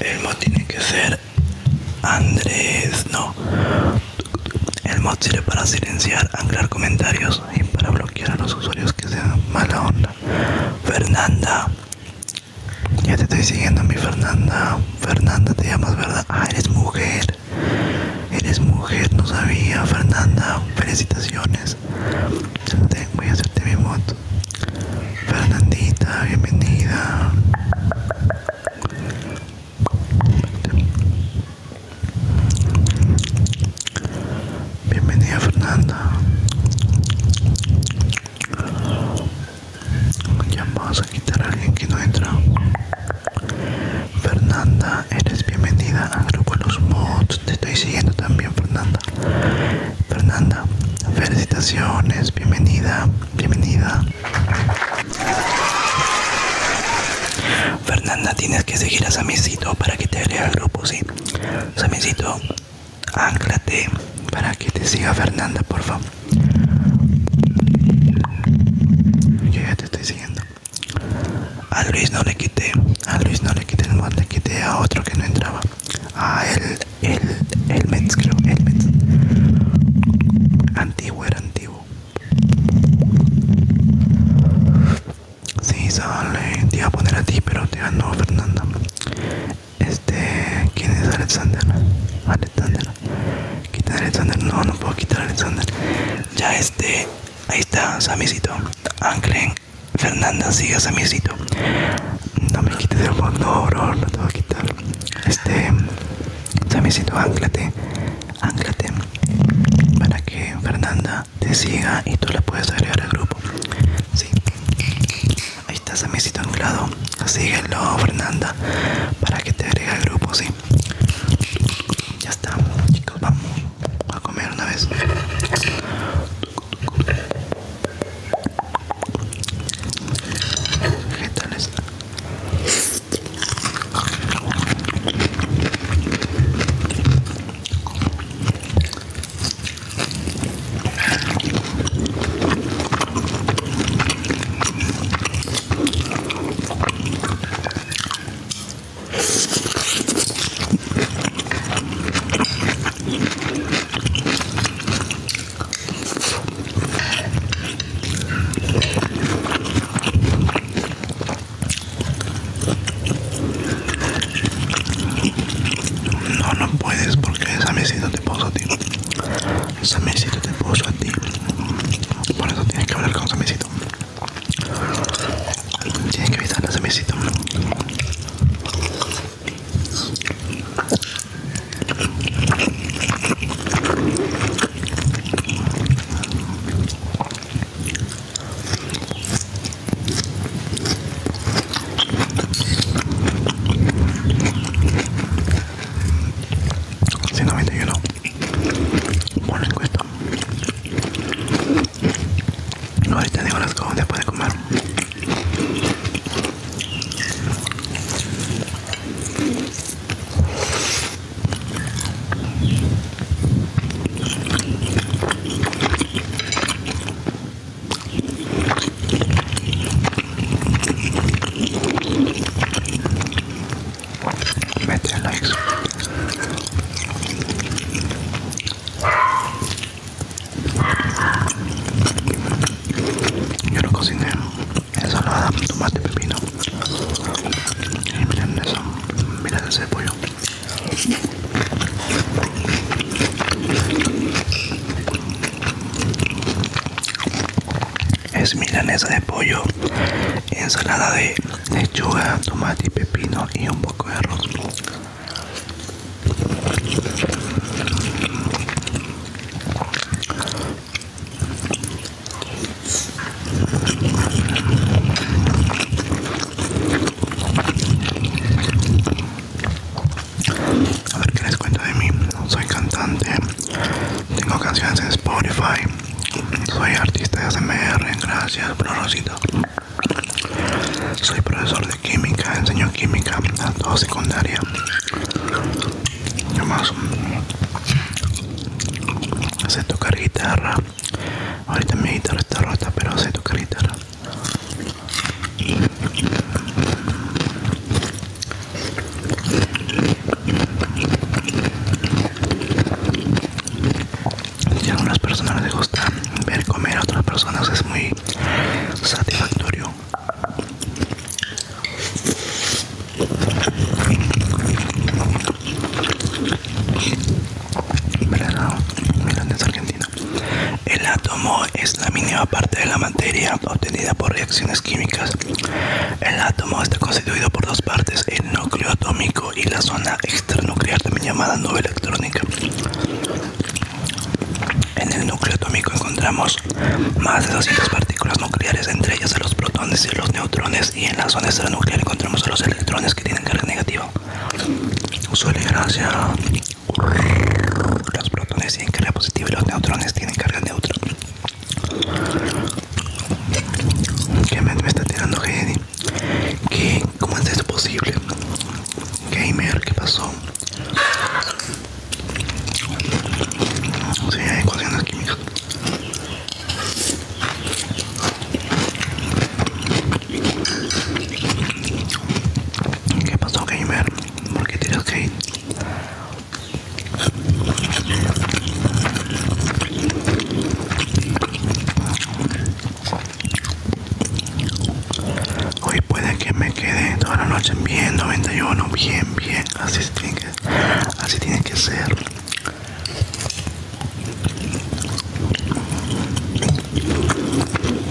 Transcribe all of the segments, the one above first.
El mod tiene que ser Andrés, no. El mod sirve para silenciar, anclar comentarios y para bloquear a los usuarios que sean mala onda. Fernanda, ya te estoy siguiendo, mi Fernanda. Fernanda, te llamas, ¿verdad? Ah, eres mujer. Eres mujer, no sabía, Fernanda. Felicitaciones. Voy a hacerte mi moto. Fernandita, bienvenida. Bienvenida Fernanda. Ya vamos a quitar a alguien que no entra. Fernanda, eres bienvenida al grupo Los Mods. Te estoy siguiendo también, Fernanda. Fernanda, felicitaciones, bienvenida, bienvenida. Fernanda, tienes que seguir a Samicito para que te agregue al grupo, sí. Samicito, anclate para que te siga Fernanda, por favor. Yo ya te estoy siguiendo. A Luis no le quité, a Luis no le quité, le quité a otro que no entraba. A él, el, el creo, el Antiguo era antiguo. Sí, sale, te iba a poner a ti, pero te ganó Fernanda. Este, ¿quién es Alexander? Alexander, quitar Alexander, no, no puedo quitar Alexander. Ya este, ahí está, Samisito. Anclen, Fernanda, siga a Samisito. No me quites poco, no, bro, lo tengo que quitar. Este, Samisito, anclate, anclate para que Fernanda te siga y tú la puedes agregar al grupo. Sí. Ahí está Samicito anclado. Síguelo, Fernanda, para que te agregue al grupo, sí. Ya está, chicos, vamos a comer una vez. ¿Qué tal está? No, no puedes porque esa me te puso a Samecito te puso a ti. Por eso tienes que hablar con Samecito. Tienes que avisar a Samecito. 191 por la ¿No ahorita digo las cosas donde puede comer Mete likes. Yo lo cociné. Ensalada, tomate, pepino. Y miren eso. Miren ese pollo es milanesa de pollo, ensalada de lechuga, tomate y pepino y un poco de arroz. A ver qué les cuento de mí. Soy cantante, tengo canciones en Spotify, soy artista de ASMR, gracias, bro Rosito. Soy profesor de química, enseño química a toda secundaria. y más sé tocar guitarra. Ahorita mi guitarra está rota, pero sé tocar guitarra. Y a algunas personas les gusta ver comer a otras personas es muy satisfactorio. mirando no, el átomo es la mínima parte de la materia obtenida por reacciones químicas. El átomo está constituido por dos partes, el núcleo atómico y la zona extranuclear, también llamada nube electrónica. En el núcleo atómico encontramos más de 200 partículas nucleares, entre ellas los protones y los neutrones, y en la zona extranuclear encontramos los electrones que tienen carga negativa. Suele gracia. Los protones tienen carga positiva y los neutrones tienen carga neutra. ¿Qué me, está tirando que, ¿Cómo es eso posible? Gamer, ¿qué pasó? Sí, hay ecuaciones químicas. ¿Qué pasó, gamer? ¿Por qué tiras ir? Hoy puede que me quede toda la noche bien 91, bien, bien, así tiene así tiene que ser.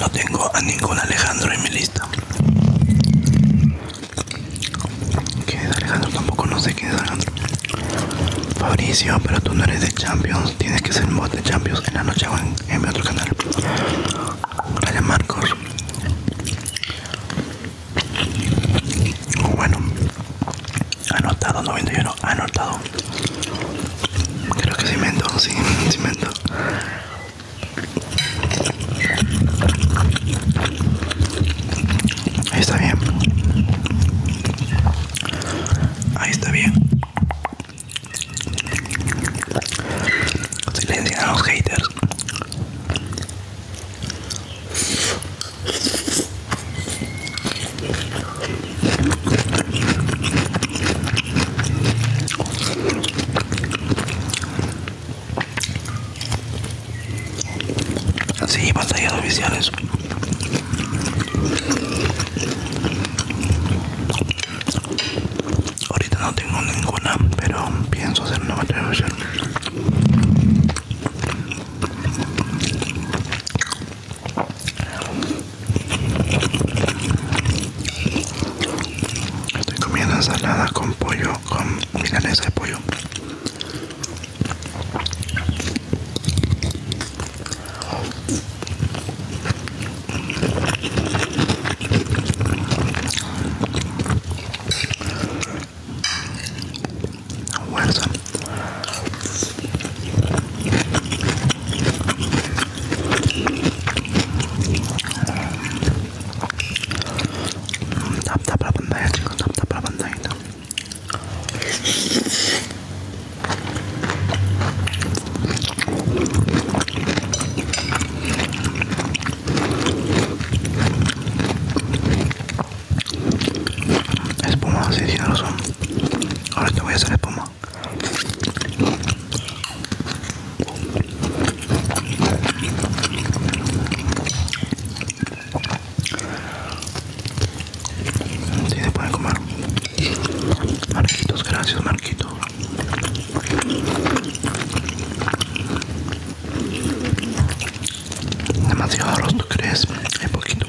No tengo a ningún Alejandro en mi lista. ¿Quién es Alejandro? Tampoco no sé quién es Alejandro. Fabricio, pero tú no eres de Champions. Tienes que ser mod de Champions en la noche o en, mi otro canal. Raya Marcos. Bueno, anotado 91, anotado. Creo que cemento, sí, cemento. Ahí está bien. Ahí está bien. Silencio a los haters. Sí, batallas oficiales. Ahorita no tengo ninguna, pero pienso hacer una batalla Estoy comiendo ensalada con pollo, con milanesa de pollo. Tap tap la pantalla, chicos, tap tap la Espuma, sí, sí, no lo son. Ahora te voy a hacer espuma. Si sí, se pueden comer Marquitos, gracias Marquitos Demasiado arroz, ¿tú crees? Hay poquito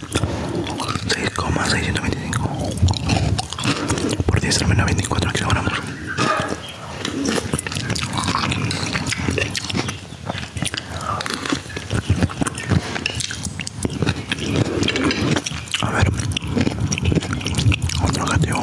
6,625 por 10 al menos 24 kilogramos a ver otro gateo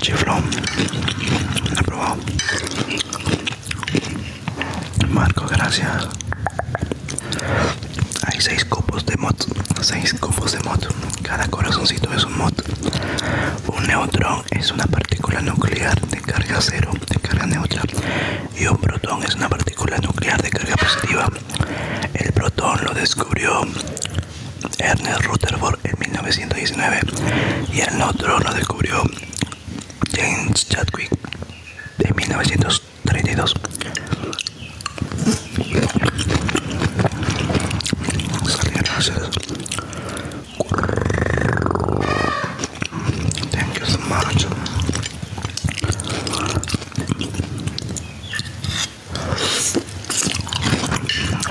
Chiflón, aprobado. Marco, gracias. Hay seis copos de mod, seis copos de mod. Cada corazoncito es un mod. Un neutrón es una partícula nuclear de carga cero, de carga neutra, y un protón es una partícula nuclear de carga positiva. El protón lo descubrió Ernest Rutherford en 1919 y el neutrón lo descubrió James Chadwick en 1932.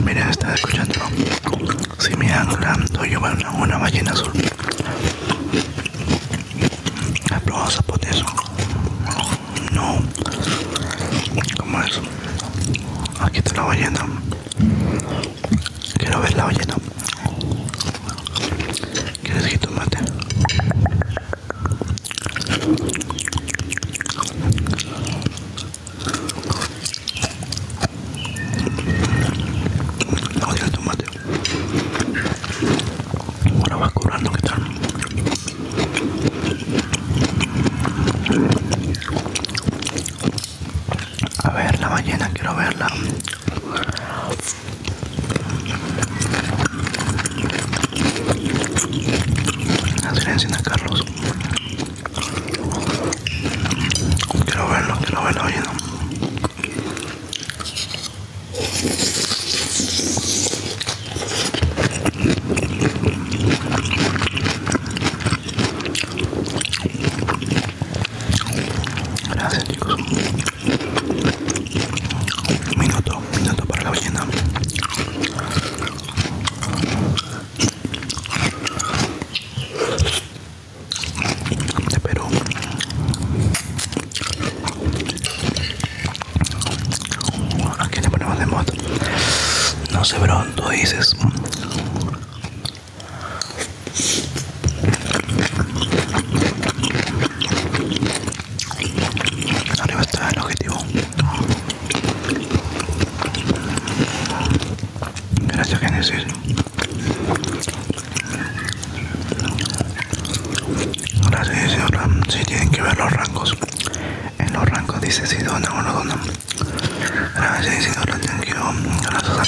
Mira, están escuchando. Si me hablando, yo veo una, una ballena azul. ¿Has probado eso, No. ¿Cómo es? Aquí está la ballena. Quiero ver la ballena. ¿Quieres jitomate? Odio el tomate. Ahora va a curando, que tal? A ver la ballena, quiero verla. Silencien a Carlos. Quiero verlo, quiero verlo oyendo. Gracias chicos. Minuto, minuto para la ballena. De Perú. ¿A qué le ponemos de mod? No sé, pronto dices. Arriba está el objetivo. Gracias, Genesis. Ahora sí dice, si tienen que ver los rangos. En los rangos dice si donan o no donan. Gracias, Isidora, thank you. los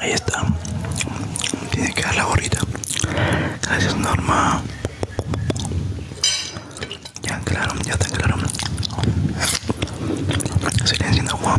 Ahí está. Tiene que dar la gorrita. Gracias Norma. Ya claro, ya está claro. Silencio, no, agua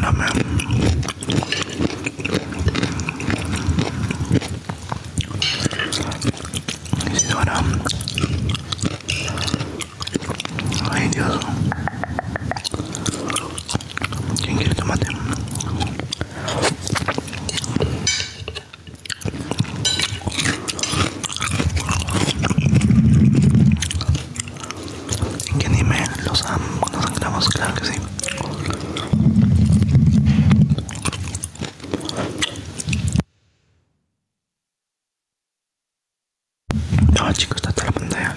no man. No suena. Ay, Dios. quien quiere tomate? ¿En qué anime los am anclamos? Claro que sí. No, chicos, está atrapando ya.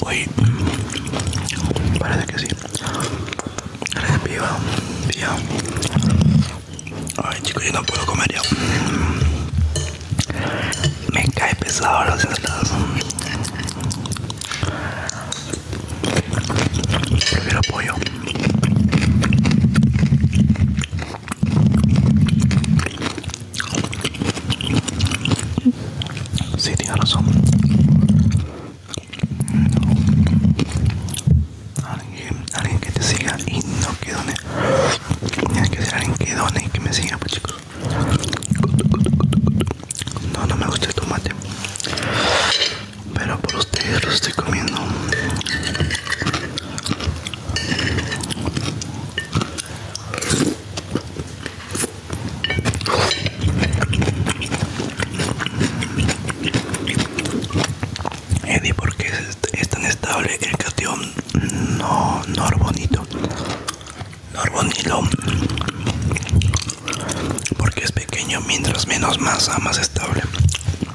Uy, parece que sí. Parece piba, Ay, chicos, yo no puedo comer ya. Me cae pesado los ensaladas. Prefiero pollo. Sí, tienes razón. Alguien, alguien que te siga y no que done. que ser alguien que done y que me siga, pues chicos. No, no me gusta el tomate. Pero por ustedes lo estoy comiendo. Eddie, ¿por qué es, tan estable el cation no, norbonito? Norbonilo, porque es pequeño, mientras menos masa, más estable,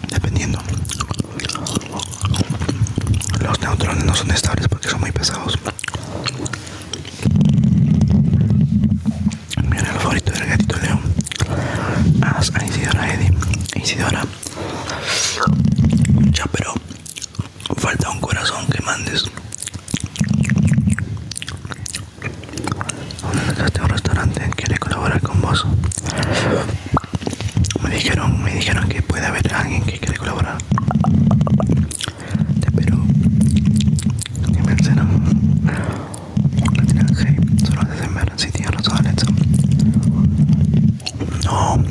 dependiendo. Los neutrones no son estables porque son muy pesados. Mira el favorito del gatito León. Haz a Isidora Eddy, Isidora. Ya, pero falta un corazón que mandes. ¿Dónde un restaurante? ¿Quiere colaborar con vos? Me dijeron, me dijeron que puede haber alguien que quiere colaborar. Te espero. con me Solo si tienes los No,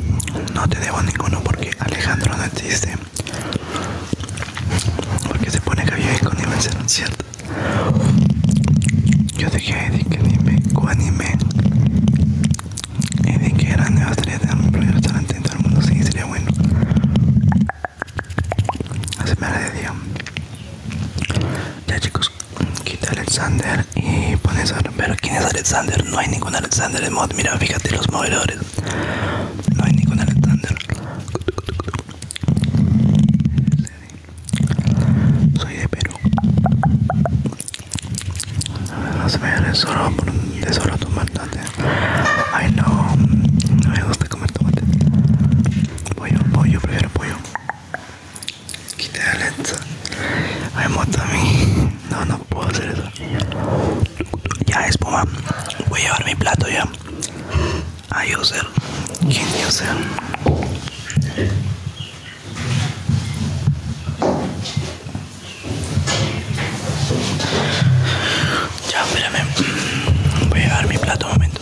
no te debo ninguno porque Alejandro no existe. Porque se pone que vive con Imenser, ¿cierto? Yo te de que dime con anime y eh, de que grande bastaría tener de un restaurante en todo el mundo, sí, sería bueno. Así me la Ya chicos, quita Alexander y pones a... Pero ¿quién es Alexander? No hay ningún Alexander en mod, mira, fíjate los movedores. No hay ningún Alexander. Soy de Perú. Las verdes solo de solo tomar tomate. Ay no, no me gusta comer tomate. Pollo, pollo, prefiero pollo. Quita la lenta. Ay mí. No, no puedo hacer eso. Ya espuma. Voy a llevar mi plato ya. A Yosel. ¿Quién Yosel? Ya, espérame. Voy a llevar mi plato un momento.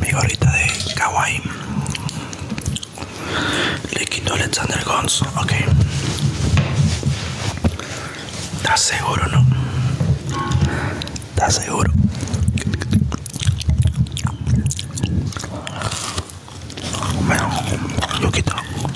Mi gorrita de kawaii le quito Alexander Gons, ok. ¿Estás seguro, no? ¿Estás seguro? Bueno, yo quito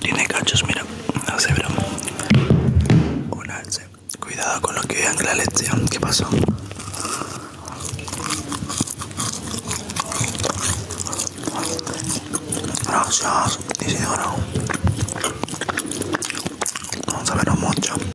Tiene cachos, mira, no se broma. Un alce. Cuidado con lo que vean la lección. ¿Qué pasó? Gracias, dice ahora. Vamos a verlo mucho.